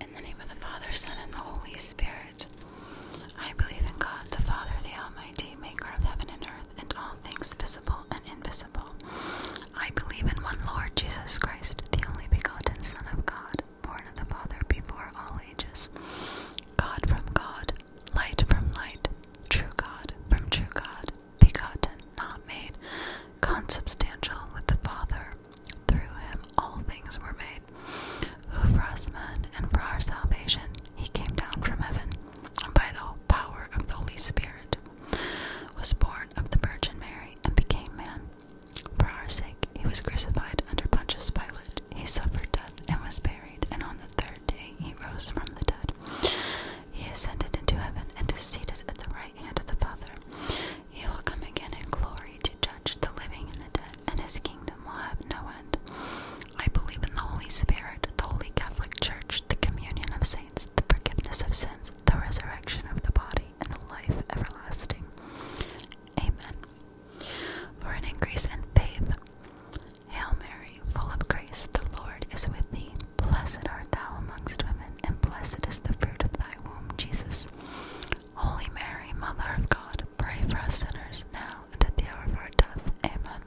In the name of the Father, Son, and the Holy Spirit, I believe in God, the Father, the Almighty, maker of heaven and earth, and all things visible and invisible. I believe in one Lord Jesus Christ, the only begotten Son of God, born of the Father before all ages, God from God, light from light, true God from true God, begotten, not made, consubstantial with the Father. Through him all things were made, who for us men and for our salvation he came down from heaven, and by the power of the Holy Spirit was born of the Virgin Mary and became man. For our sake he was crucified under Pontius Pilate. He suffered death and was buried, and on the third day he rose from the dead. He ascended into heaven and is seated at the right hand of the Father. He will come again in glory to judge the living and the dead, and his kingdom will have no end. I believe in the Holy Spirit, the Holy Catholic Church, the communion of saints, the forgiveness of sins, the resurrection of the body, and the life everlasting. Amen. For an increase in faith, Hail Mary, full of grace, the Lord is with thee. Blessed art thou amongst women, and blessed is the fruit of thy womb, Jesus. Holy Mary, Mother of God, pray for us sinners now and at the hour of our death. Amen.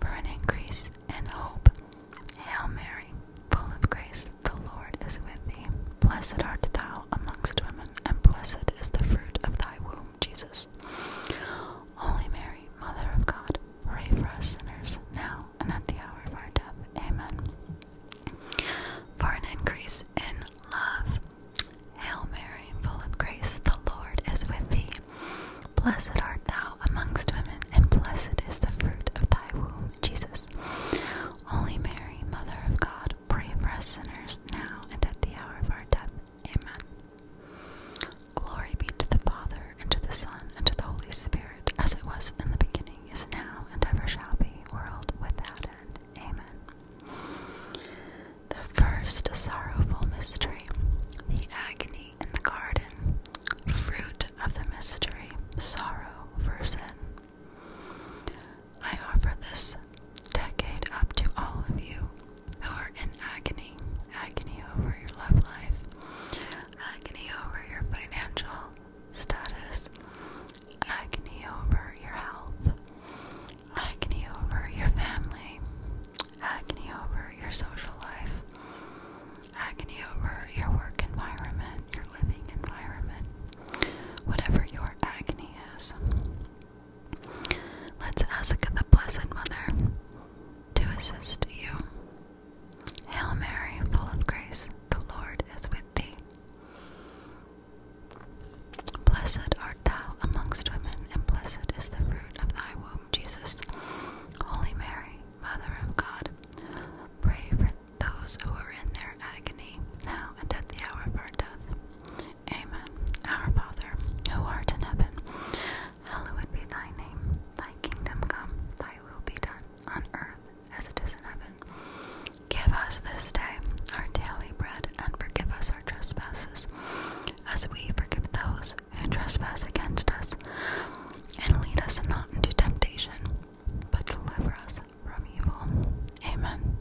For an increase in hope. Hail Mary, full of grace, the Lord is with thee. Blessed art thou amongst women, and blessed is the fruit of thy womb, Jesus. Holy Mary, Mother of God, pray for us sinners, now and at the hour of our death. Amen. For an increase in love. Hail Mary, full of grace, the Lord is with thee. Blessed art thou amongst women, and blessed is the fruit of thy womb, Jesus. Holy Mary, Mother of God, pray for us sinners, now and at the hour of our death. Amen. Glory be to the Father, and to the Son, and to the Holy Spirit, as it was in the beginning, is now, and ever shall be, world without end. Amen. The first sorrowful mystery, the agony in the garden, fruit of the mystery, sorrow for sin. I offer this decade up to all of you who are in agony agony over your love life, agony over your financial status, agony over your health, agony over your family, agony over your social life, agony over your work environment, your living environment, whatever your agony is. Let's ask the Blessed Mother to assist you. Hail Mary, full of grace, the Lord is with thee. Blessed art thou amongst women, and blessed is the fruit of thy womb, Jesus. Holy Mary, Mother of God, pray for those who are in their agony, now and at the hour of our death. Amen. Our Father, who art in heaven, Hallowed be thy name, thy kingdom come, thy will be done on earth as it is in heaven. Give us this day our daily bread and forgive us our trespasses as we forgive those who trespass against us. And lead us not into temptation, but deliver us from evil. Amen.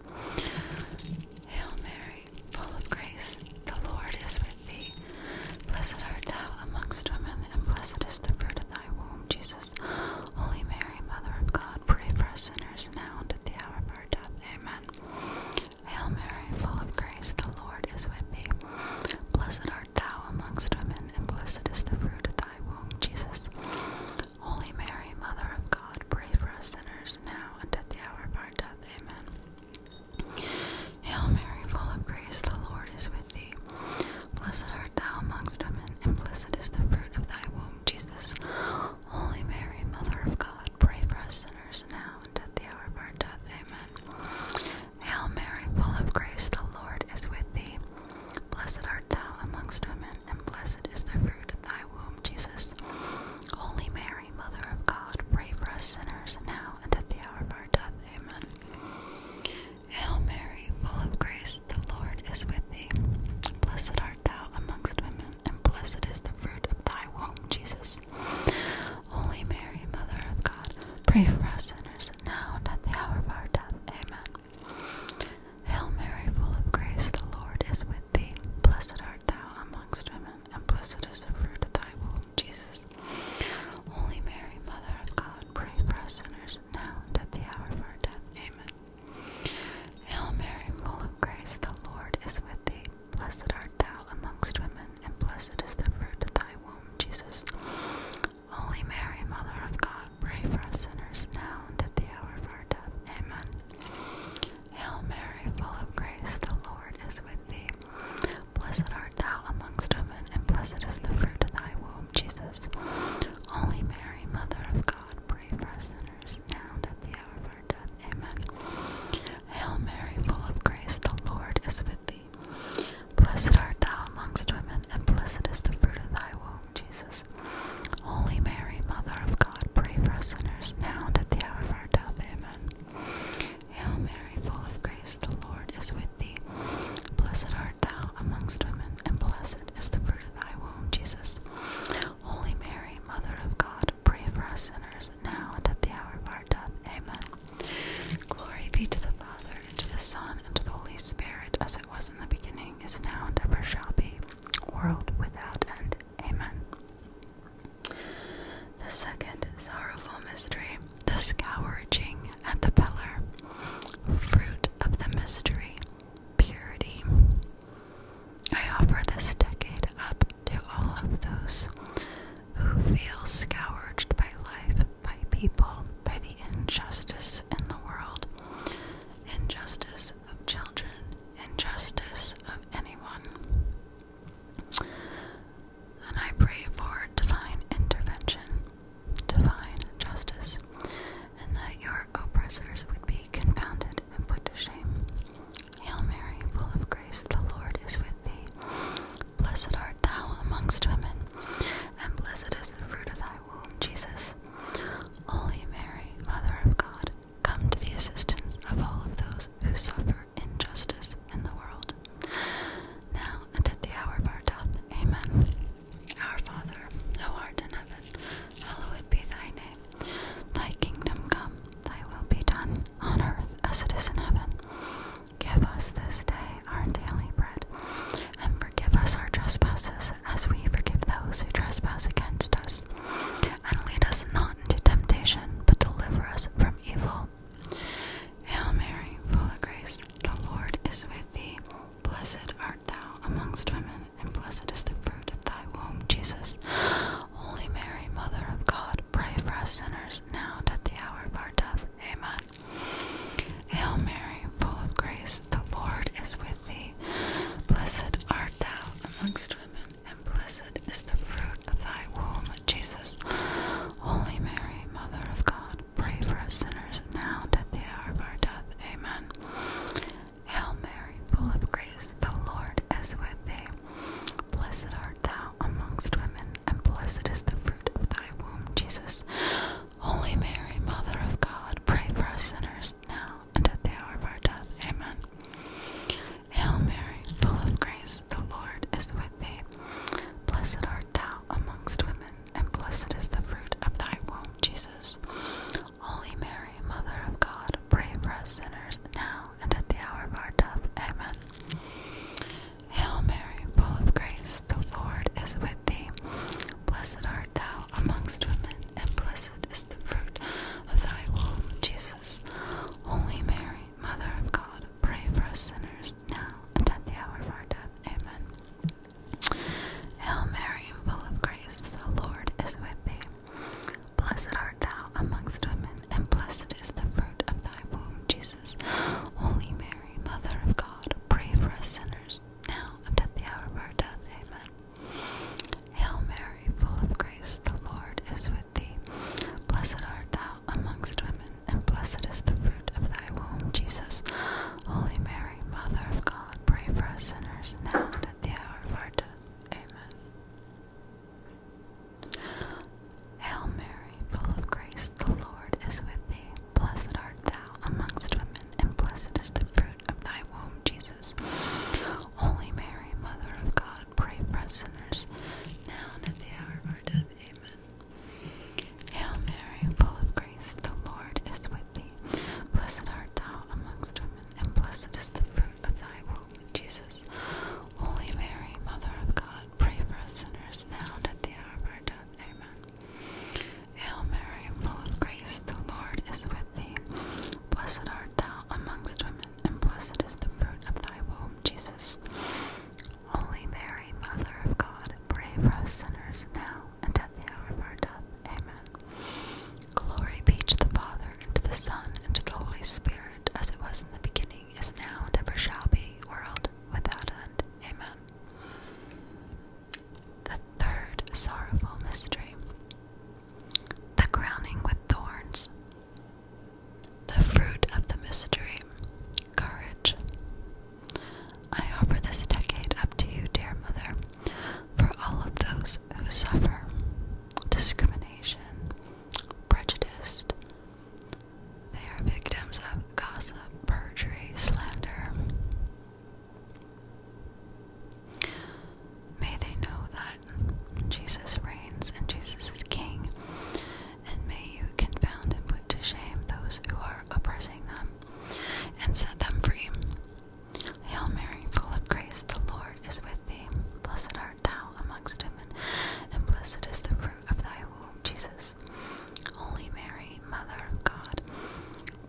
Hail Mary, full of grace, the Lord is with thee. Blessed art thou amongst women, and blessed is the fruit of thy womb, Jesus. Holy Mary, Mother of God, pray for us sinners now and at the hour of our death. Amen. Hail Mary, full of grace, the Lord is with thee. Blessed art thou amongst women, and blessed is the fruit of thy womb, Jesus. Holy Mary, Mother of God, pray for us sinners now and at the hour of our death. Amen. Hail Mary, full of grace, the Lord is with thee. Blessed art thou amongst women, and blessed is the fruit of thy womb, Jesus. Holy Mary, Mother of God, pray for us sinners now and at the hour of our death. Amen. Hail Mary, full of grace, the Lord is with thee. Blessed art thou amongst women, and blessed is the fruit of thy womb, Jesus. Holy Mary, Mary, Mother of God, pray for us sinners now and at the hour of our death. Amen. Hail Mary, full of grace, the Lord is with thee. Blessed art thou amongst women, and blessed is the fruit of thy womb, Jesus. Holy Mary, Mother of God, pray for us sinners now and at the hour of our death. Amen. Hail Mary, full of grace, the Lord is with thee. Blessed art thou amongst women, and blessed is the fruit of thy womb, Jesus. Holy Mary, Mother of God, pray for us sinners now and at the hour of our death. Amen. Hail Mary, full of grace, the Lord is with thee. Blessed art thou amongst women, and blessed is the fruit of thy womb, Jesus. Holy Mary, Mother of God, pray for us sinners now and at the hour of our death. Amen. Hail Mary, full of grace, the Lord is with thee. Blessed art thou amongst women, and blessed is the fruit of thy womb, Jesus. Holy Mary, Mother of God, pray for us sinners, now and at the hour of our death. Amen. Hail Mary, full of grace, the Lord is with thee. Blessed art thou amongst women, and blessed is the fruit of thy womb, Jesus. Holy Mary, Mother of God, pray for us sinners, now and at the hour of our death. Amen. Hail Mary, full of grace, the Lord is with thee. Blessed art thou amongst women, and blessed is the fruit of thy womb, Jesus. Holy Mary, Mother of God, pray for us sinners, now and at the hour of our death. Amen. Glory be to the Father, and to the Son, and to the Holy Spirit, as it was in the beginning, is now, and ever shall be, world without end. Amen. The second sorrowful mystery, the scourging at the pillar. Fruit of the mystery, purity. I offer this decade up to all of those who feel scourged by life, by people, by the injustice in the world, injustice of children, injustice of anyone and I pray for divine intervention, divine justice, and that your oppressors would be confounded and put to shame. Hail Mary, full of grace, the Lord is with thee. Blessed art thou amongst women, and blessed is the fruit of thy womb, Jesus. Holy Mary, Mother of God, come to the assistance of all of those who suffer injustice in the world, now and at the hour of our death. Amen. Our Father, who art in heaven, hallowed be thy name. Thy kingdom come, thy will be done, on earth as it is in heaven. Give us this day our daily bread, and forgive us our trespasses as we forgive those who trespass against us. And lead us not into temptation, but deliver us from evil. Hail Mary, full of grace, the Lord is with thee. Blessed art thou amongst women, and blessed is the fruit of thy womb, Jesus. Holy Mary, Mother of God, pray for us sinners, now at the hour of our death. Amen. Hail Mary, full of grace, the Lord is with thee. Blessed art thou amongst women, and blessed is the fruit of thy womb, Jesus. Holy Mary, Mother of God, pray for us sinners now and at the hour of our death. Amen. Hail Mary, full of grace, the Lord is with thee. Blessed art thou amongst women, and blessed is the fruit of thy womb, Jesus. Holy Mary, Mother of God, pray for us sinners now and at the hour of our death. Amen. Hail Mary, full of grace, the Lord is with thee. Blessed art thou amongst women, and blessed is the fruit of thy womb, Jesus. Holy Mary, Mother of God, pray for us sinners now and at the hour of our death. Amen. Hail Mary, full of grace, the Lord is with thee. Blessed art thou amongst women, and blessed is the fruit of thy womb, Jesus. Holy Mary, Mother of God, pray for us sinners now at the hour of our death. Amen. Hail Mary, full of grace, the Lord is with thee. Blessed art thou amongst women, and blessed is the fruit of thy womb, Jesus. Holy Mary, Mother of God, pray for us sinners now at the hour of our death. Amen. Hail Mary, full of grace, the Lord is with thee. Blessed art thou amongst women, and blessed is the fruit of thy womb, Jesus. Holy Mary, Mother of God, pray for us sinners, now and at the hour of our death. Amen. Hail Mary, full of grace, the Lord is with thee. Blessed art thou amongst women, and blessed is the fruit of thy womb, Jesus. Holy Mary, Mother of God, pray for us sinners, now and at the hour of our death. Amen. Hail Mary, full of grace, the Lord is with thee. Blessed art thou amongst women, and blessed is the fruit of thy womb, Jesus. Holy Mary, Mother of God, pray for us sinners now and at the hour of our death. Amen. Hail Mary, full of grace, the Lord is with thee. Blessed art thou amongst women, and blessed is the fruit of thy womb, Jesus. Only Mary, Mother of God, pray for us sinners now and at the hour of our death. Amen. Glory be to the Father, and to the Son, and to the Holy Spirit, as it was in the beginning, is now, and ever shall be, world without end. Amen. The third sorrowful mystery. The crowning with thorns. The fruit of the mystery, courage. I offer this decade up to you, dear mother, for all of those who suffer discrimination, prejudice. They are victims of gossip, perjury, slander. May they know that Jesus reigns and Jesus is King, and may you confound and put to shame those who are oppressing them, and set them free. Hail Mary, full of grace, the Lord is with thee. Blessed art thou amongst women, and blessed is the fruit of thy womb, Jesus. Holy Mary, Mother of God,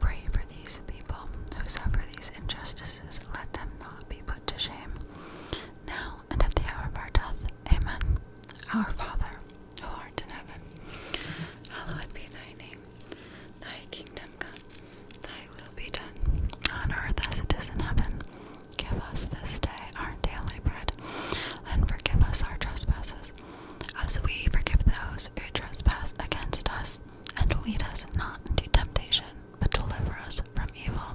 pray for these people who suffer these injustices. Let them not be put to shame. Now and at the hour of our death. Amen. Our Father, who art in heaven, hallowed be thy name. Thy kingdom come, thy will be done, on earth as it is in heaven. Give us this day our daily bread, and forgive us our trespasses, as we forgive those who trespass against us. And lead us not into temptation, but deliver us from evil.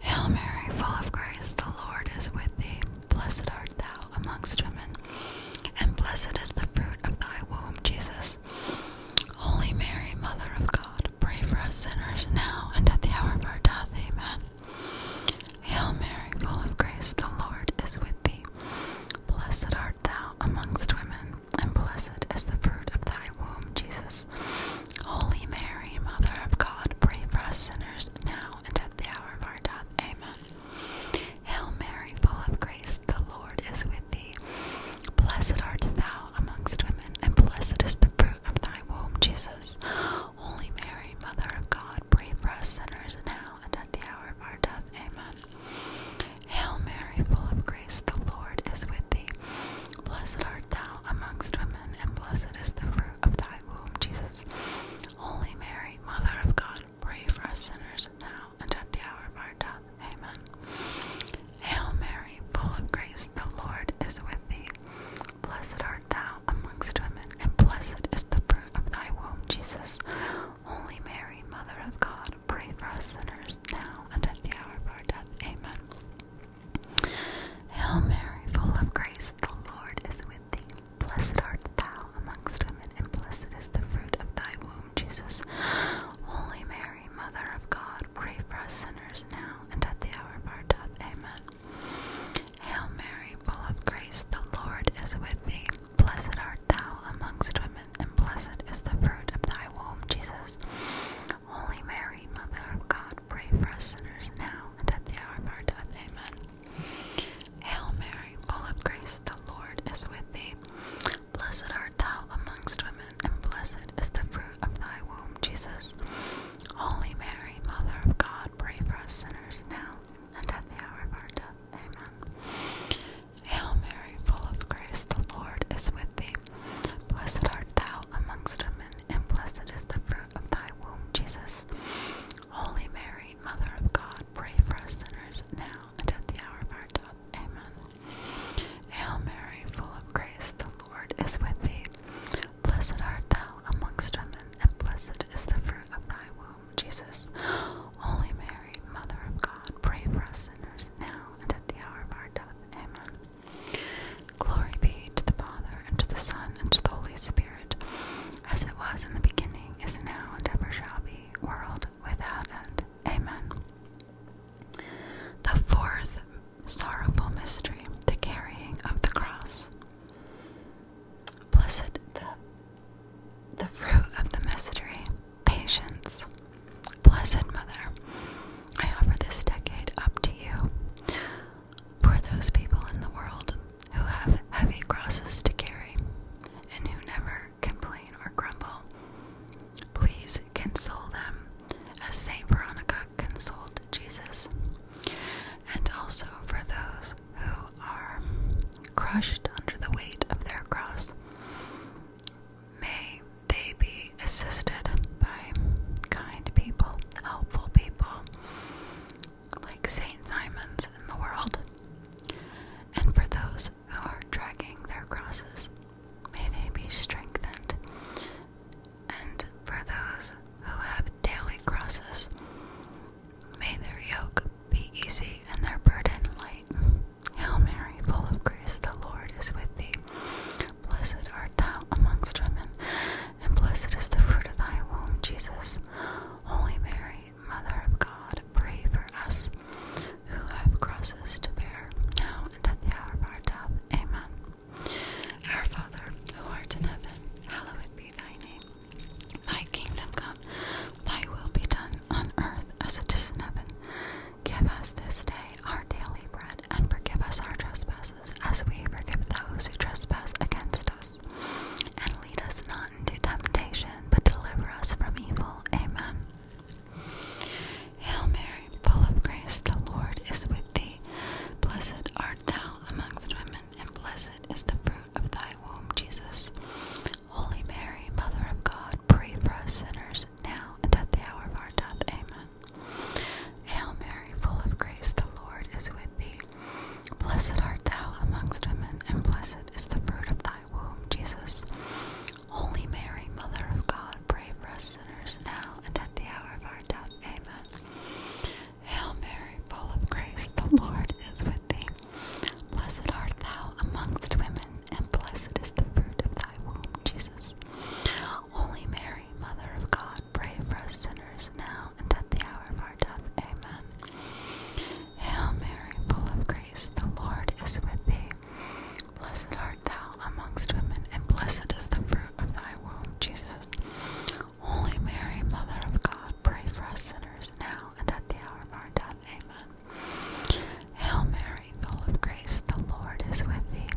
Hail Mary, full of grace, the Lord is with thee. Blessed art thou amongst women, and blessed is the fruit of thy womb, Jesus. Holy Mary, Mother of God, pray for us sinners now and at the hour of our death. Amen. Hail Mary, full of grace, the Lord is with thee. Blessed art thou amongst women, and blessed is the fruit of thy womb, Jesus. Holy Mary, Mother of God, pray for us sinners now and at the hour of our death. Amen. Hail Mary, full of grace, the Lord is with thee. Blessed art thou amongst women, and blessed is the fruit of thy womb, Jesus. Holy Mary, Mother of God, pray for us sinners now and at the hour of our death. Amen. Hail Mary, full of grace, the Lord is with thee. Blessed art thou amongst women, and blessed is the fruit of thy womb, Jesus. Holy Mary, Mother of God, pray for us sinners now and at the hour of our death. Amen. Hail Mary, full of grace, the Lord is with thee. Blessed art thou amongst women, and blessed is the fruit of thy womb, Jesus. Holy Mary, Mother of God, pray for us sinners now and at the hour of our death. Amen. Hail Mary, full of grace, the Lord is with thee. Blessed art thou amongst women, and blessed is the fruit of thy womb, Jesus. Holy Mary, Mother of God, pray for us sinners now and at the hour of our death. Amen. Hail Mary, full of grace, the Lord is with thee. Blessed art thou amongst women, and blessed is the fruit of thy womb, Jesus. Holy Mary, Mother of God, pray for us sinners now at the hour of our death. Amen. Hail Mary, full of grace, the Lord is with thee. Blessed art thou amongst women, and blessed is the fruit of thy womb, Jesus. Holy Mary, Mother of God, pray for us sinners now and at the hour of our death. Amen. Hail Mary, full of grace, the Lord is with thee. Blessed art thou amongst women, and blessed is the fruit of thy womb, Jesus. Holy Mary, Mother of God, pray for us sinners now and at the hour of our death. Amen. Hail Mary, full of grace, the Lord is with thee. Blessed art thou amongst women, and blessed is the fruit of thy womb, Jesus. Holy Mary, Mother of God, pray for us sinners now and at the hour of our death. Amen. Glory be to the Father, and to the Son, and to the Holy Spirit as it was in the beginning, is now, and ever shall be, world without end. Amen. The fourth sorrowful mystery, the carrying of the cross. Blessed the, the fruit of the mystery, patience. Blessed Mother, I offer this decade up to you for those people in the world who have heavy crosses to carry and who never complain or grumble. Please console them as St. Veronica consoled Jesus, and also for those who are crushed under the weight of their cross. May they be assisted by kind people, helpful people, like St. Simon's in the world, and for those who are dragging their crosses, may they be strengthened, and for those who have daily crosses, may their yoke be easy and their burden light. Hail Mary, full of grace, the Lord is with thee. Blessed art thou amongst women, and blessed is the fruit of thy womb, Jesus. Holy Mary, Mother of God, pray for us who have crosses to bear, now and at the hour of our death. Amen. Our Father, who art in heaven, hallowed be thy name. Thy kingdom come, thy will be done on earth as it is in heaven. Give us this day our daily bread, and forgive us our trespasses as we forgive those who trespass against us. And lead us not into temptation, but deliver us from evil. Amen. Hail Mary, full of grace, the Lord is with thee. Blessed art thou amongst women, and blessed is the fruit of thy womb, Jesus. Holy Mary, Mother of God, pray for us sinners, now and at the hour of our death. Amen. Hail Mary, full of grace, the Lord is with thee. Blessed art thou amongst women, and blessed is the fruit of thy womb, Jesus. Holy Mary, Mother of God, pray for us sinners now and at the hour of our death. Amen. Hail Mary, full of grace, the Lord is with thee. Blessed art thou amongst women, and blessed is the fruit of thy womb, Jesus. Holy Mary, Mother of God, pray for us sinners now and at the hour of our death. Amen. Hail Mary, full of grace, the Lord is with thee. Blessed art thou amongst women, and blessed is the fruit of thy womb, Jesus. Holy Mary, Mother of God, pray for us sinners now and at the hour of our death. Amen. Hail Mary, full of grace, the Lord is with thee.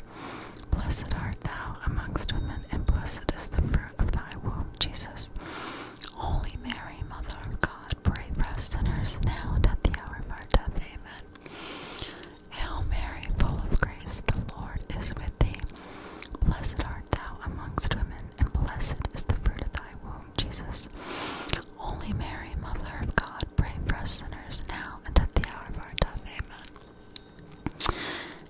Blessed art thou amongst women, and blessed is the fruit of thy womb, Jesus. Holy Mary, Mother of God, pray for us sinners now and at the hour of our death. Amen. Hail Mary, full of grace, the Lord is with thee. Blessed art thou amongst women, and blessed is the fruit of thy womb, Jesus. Holy Mary, Mother of God, pray for us sinners now and at the hour of our death. Amen.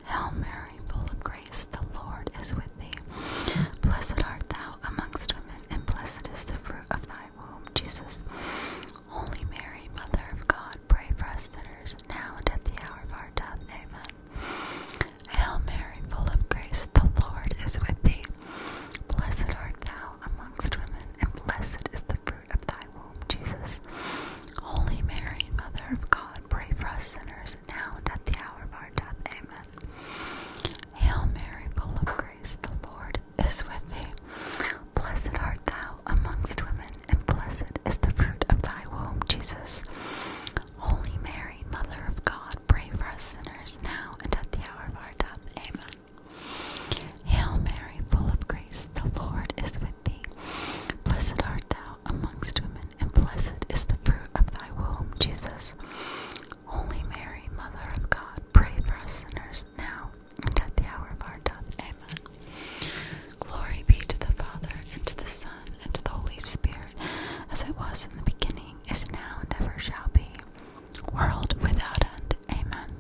Hail Mary, full of grace, the Lord is with thee. Blessed art thou amongst women, and blessed is the fruit of thy womb, Jesus. Holy Mary, Mother of God, pray for us sinners, now and at the hour of our death. Amen. Hail Mary, full of grace, the Lord is with thee. Blessed art thou amongst women, and blessed is the fruit of thy womb, Jesus. Holy Mary, Mother of God, pray for us sinners now and at the hour of our death. Amen. Hail Mary, full of grace, the Lord is with thee. Blessed art thou amongst women, and blessed is the fruit of thy womb, Jesus. Holy Mary, Mother of God, pray for us sinners now and at the hour of our death. Amen. Hail Mary, full of grace, the Lord is with thee. Blessed art thou amongst women, and blessed is the fruit of thy womb, Jesus. Holy Mary, Mother of God, pray for us sinners now and at the hour of our death. Amen. Glory be to the Father, and to the Son, and to the Holy Spirit, as it was in the beginning, is now, and ever shall be, world without end. Amen.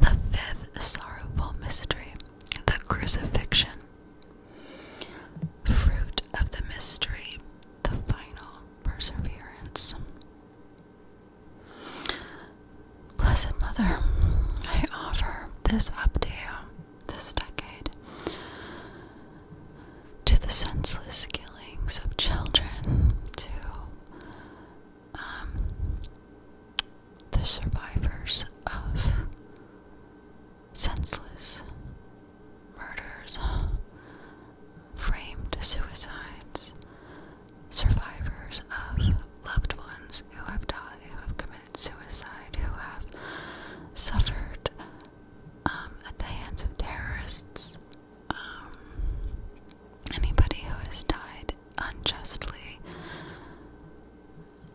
The fifth sorrowful mystery, the crucifixion. Fruit of the mystery, the final perseverance. Blessed Mother, I offer this up to you, this decade, to the senseless killings of children, to um, the survivors of senseless murders, framed suicides, survivors of loved ones who have died, who have committed suicide, who have suffered um, at the hands of terrorists, um, anybody who has died unjustly.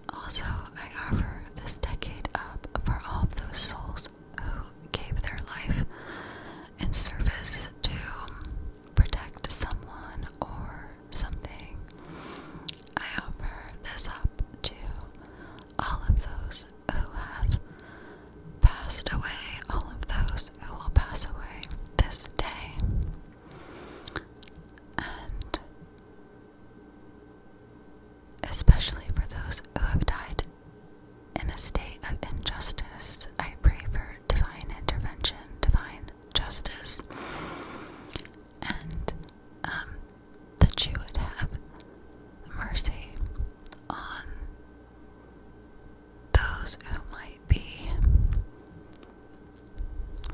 Also, I offer this decade up for all of those souls who gave their life in service to um, protect someone or something. I offer this up to all of those who have passed away, all of those who will pass away this day. And especially for those who have died in a state of injustice. I pray for divine intervention, divine justice, and um, that you would have mercy on those who might be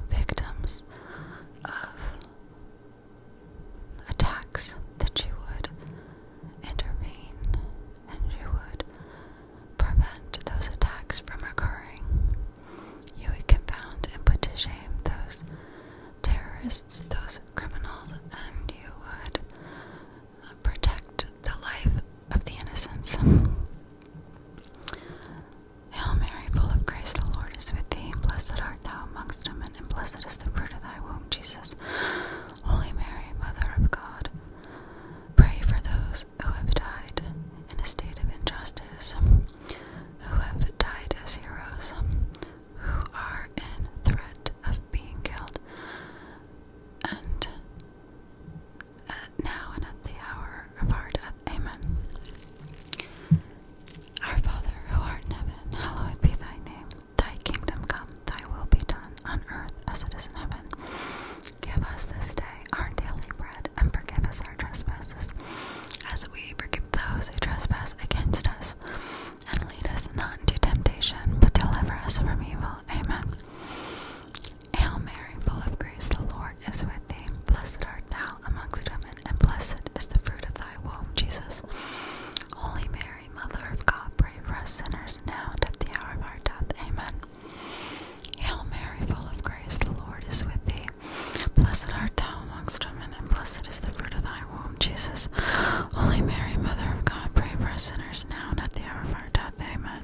victims of attacks that you would intervene and you would prevent those attacks from occurring. You would confound and put to shame those terrorists, those criminals, and you would protect the life of the innocents. Hail Mary, full of grace, the Lord is with thee. Blessed art thou amongst women and blessed is the fruit of thy womb, Jesus. Holy Mary, Mother of God, pray for those who have died in a state of injustice, who have died as heroes, who are in threat of being killed, and at uh, now and at the hour Amen. Our Father, who art in heaven, hallowed be thy name. Thy kingdom come, thy will be done, on earth as it is in heaven. Give us this day our daily bread, and forgive us our trespasses, as we forgive those who trespass against us. And lead us not into temptation, but deliver us from evil. Amen. Hail Mary, full of grace, the Lord is with thee. Blessed art thou amongst women blessed is the fruit of thy womb, Jesus. Holy Mary, Mother of God, pray for us sinners now and at the hour of our death. Amen. Hail Mary, full of grace, the Lord is with thee. Blessed art thou amongst women, and blessed is the fruit of thy womb, Jesus. Holy Mary, Mother of God, pray for us sinners now and at the hour of our death. Amen.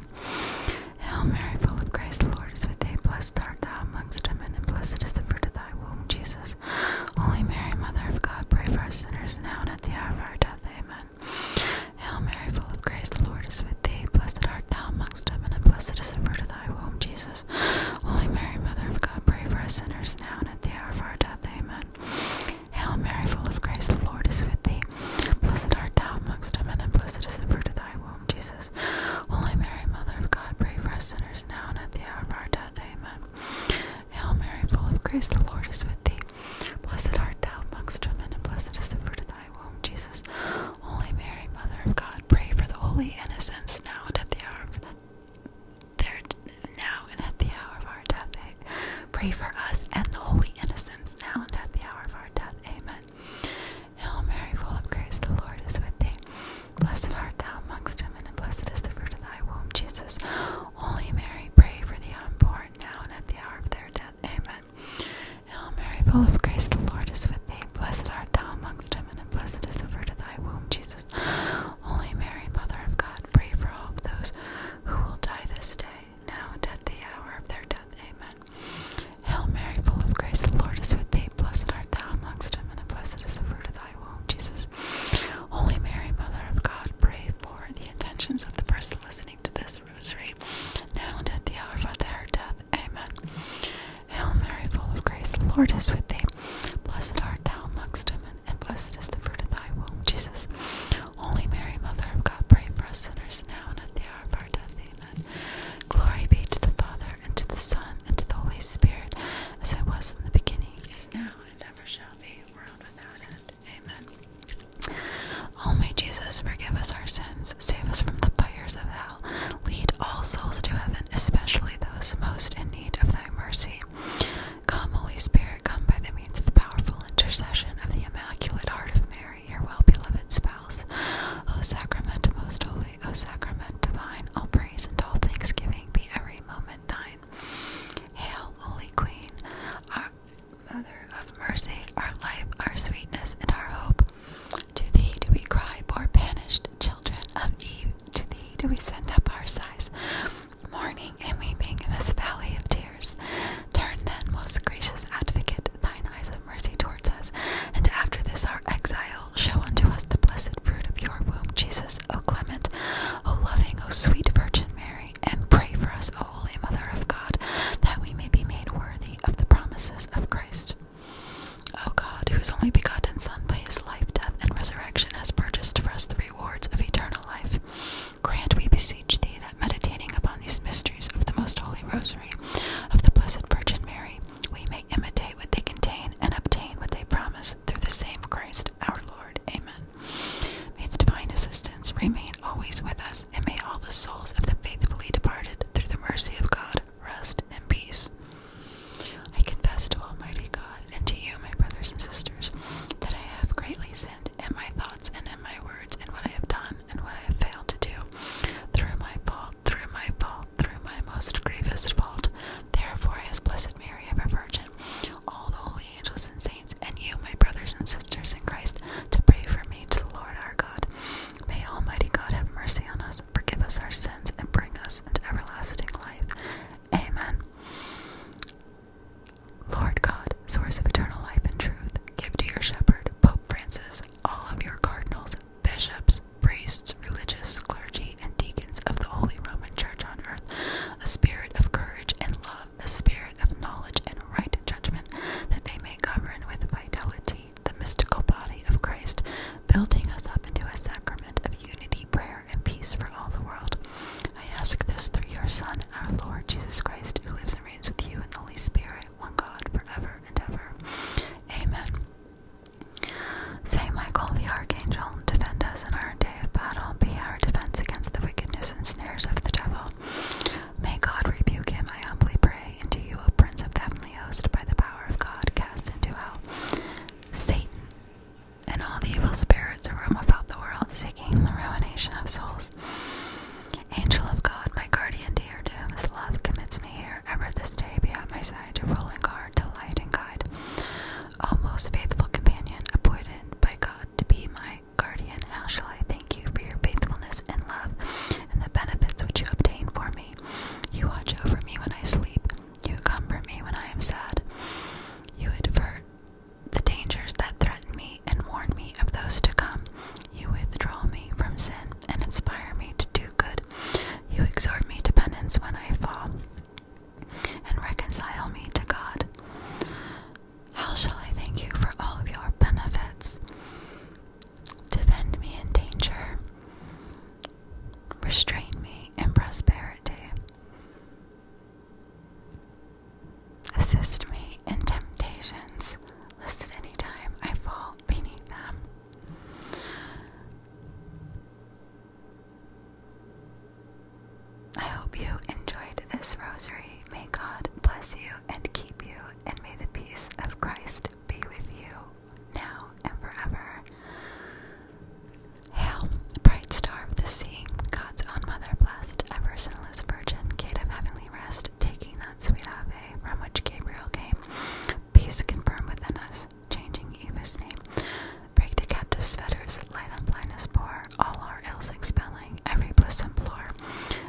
Hail Mary, full of grace, the Lord is with thee. Blessed art thou amongst women, and blessed is the fruit of thy womb, Jesus. Only Mary, Mother of God, pray for us sinners now and at the hour of our death. Amen. Hail Mary, full of grace, the Lord is with thee. Blessed art thou amongst women, and blessed is the fruit of thy womb, Jesus. Holy Mary, Mother of God, pray for us sinners now and at the hour of our death. Amen. Hail Mary, full of grace, the Lord is with thee. Blessed art thou amongst women, and blessed is the fruit of thy womb, Jesus. Holy Mary, Mother of God, pray for us sinners now and at the hour of our death. Amen. Hail Mary, full of grace, the Lord is with thee. Blessed art thou amongst women, and blessed is the fruit of thy womb, Jesus. Holy Mary, Mother of God, pray for the holy innocents now and at the hour of their now and at the hour of our death. Pray for us and the holy innocents now and at the hour of our death. Amen. Hail Mary, full of grace, the Lord is with thee. Blessed art thou amongst women, and blessed is the fruit of thy womb, Jesus. Holy Mary, pray for the unborn now and at the hour of their death. Amen. Hail Mary, full of grace, the Lord is with thee. Blessed art thou amongst women, and blessed is the fruit of thy womb, Jesus. Holy Mary, Mother of God, pray for all those who will die this day, now and at the hour of their death. Amen. Hail Mary, full of grace, the Lord is with thee. Blessed art thou amongst women, and blessed is the fruit of thy womb, Jesus. Only, Mary, Mother of God, pray for the intentions of the person listening to this rosary, now and at the hour of their death. Amen. Hail Mary, full of grace, the Lord is with thee. Blessed art thou amongst women, and blessed is the fruit of thy womb, Jesus. Only, Mary, Mother of God, pray for us sinners now and at the hour of our death. Amen. Glory be to the Father, and to the Son, and to the Holy Spirit, as it was in the beginning, is now, and ever shall be, world Amen. may Jesus forgive us our sins, save us from the fires of hell, lead all souls to heaven, especially those most in need of thy mercy. Come, Holy Spirit, come by the means of the powerful intercession of the Immaculate Heart of Mary, your well beloved spouse. O sacrament most holy, O sacrament divine, all praise and all thanksgiving be every moment thine. Hail, Holy Queen, our Mother of Mercy, our life, our sweetness, and our hope. To thee do we cry, poor banished children of Eve. To thee do we send up our sighs, mourning and weeping in this valley of tears. Turn then, most gracious advocate, thine eyes of mercy towards us, and after this our exile, show unto us the blessed fruit of your womb, Jesus, O clement, O loving, O sweet Virgin Mary, and pray for us, O Holy Mother of God, that we may be made worthy of the promises of Christ. O God, whose only begotten Son by his life, death, and resurrection has purchased for us the rewards of eternal life, grant, we beseech thee, that meditating upon these mysteries of the most holy rosary of the Blessed Virgin Mary, we may imitate what they contain and obtain what they promise through the same Christ our Lord. Amen. May the divine assistance remain always with us, and may all the souls of the faithfully departed, through the mercy of God, rest in peace. I confess to Almighty God and to you, my brothers and sisters, that I have greatly sinned in my thoughts and in my words, and what I have done and what I have failed to do, through my fault, through my fault, through my most grievous fault. Therefore, as Blessed Mary, ever Virgin, all the holy angels and saints, and you, my brothers and sisters in Christ, to pray for me to the Lord our God. May Almighty God have mercy on us, forgive us our sins, and bring us into everlasting life. Amen. Lord God, source of eternal life and truth, give to your shepherd, Pope Francis, all of your cardinals, bishops, priests, religious, clergy, and deacons of the Holy Roman Church on earth, a spirit of courage and love, a spirit of knowledge and right judgment, that they may govern with vitality the mystical body of Christ, building us up into a sacrament of unity, prayer, and peace for all the world. I ask this through your Son, our Lord Jesus Christ, who lives and reigns with you in the Holy Spirit, one God, forever and ever. Amen. Say, Michael the Archangel, defend us in our day of battle be our defense against the wickedness and snares of the devil. May God rebuke him, I humbly pray, Into you, O Prince of the Heavenly Host, by the power of God, cast into hell Satan and all the evil spirits who roam about the world, seeking the ruination of souls. Angel of God, my guardian dear, to whom love commits me here, ever this day be at my side to rule and guard, to light and guide. O most faithful companion, appointed by God to be my guardian, how shall I thank you for your faithfulness and love and the benefits which you obtain for me? You watch over me when I sleep. You comfort me when I am sad. You advert the dangers that threaten me and warn me of those to come. You withdraw me from sin and inspire me to do good. You exhort me to penance when I fall and reconcile me to God. How shall I thank you for all of your benefits? Defend me in danger, restrain me in prosperity, assist me in temptations, lest at any time I fall beneath them. I hope you enjoyed this rosary. May God bless you and keep you, and may the peace of Christ be with you now and forever. Hail, bright star of the sea, God's own mother, blessed, ever sinless virgin, gate of heavenly rest, taking that sweet ave from which Gabriel came, peace confirmed within us, changing Eva's name Break the captive's fetters, light on blindness pour, all our ills expelling, every bliss implore.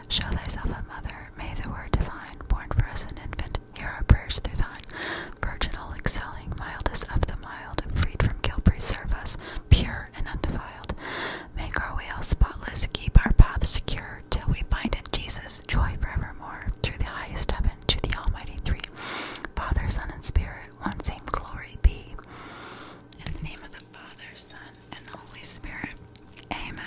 Show thyself a mother, may the word divine, born for us an infant, hear our prayers through thine. Virginal excelling, mildest of the mild, freed from guilt, preserve us, pure and undefiled. Make our way all spotless, keep our path secure, till we bind in Jesus, joy for evermore. through the highest heaven to the Almighty Three. Father, Son, and Spirit, one same glory be. In the name of the Father, Son, and the Holy Spirit. Amen.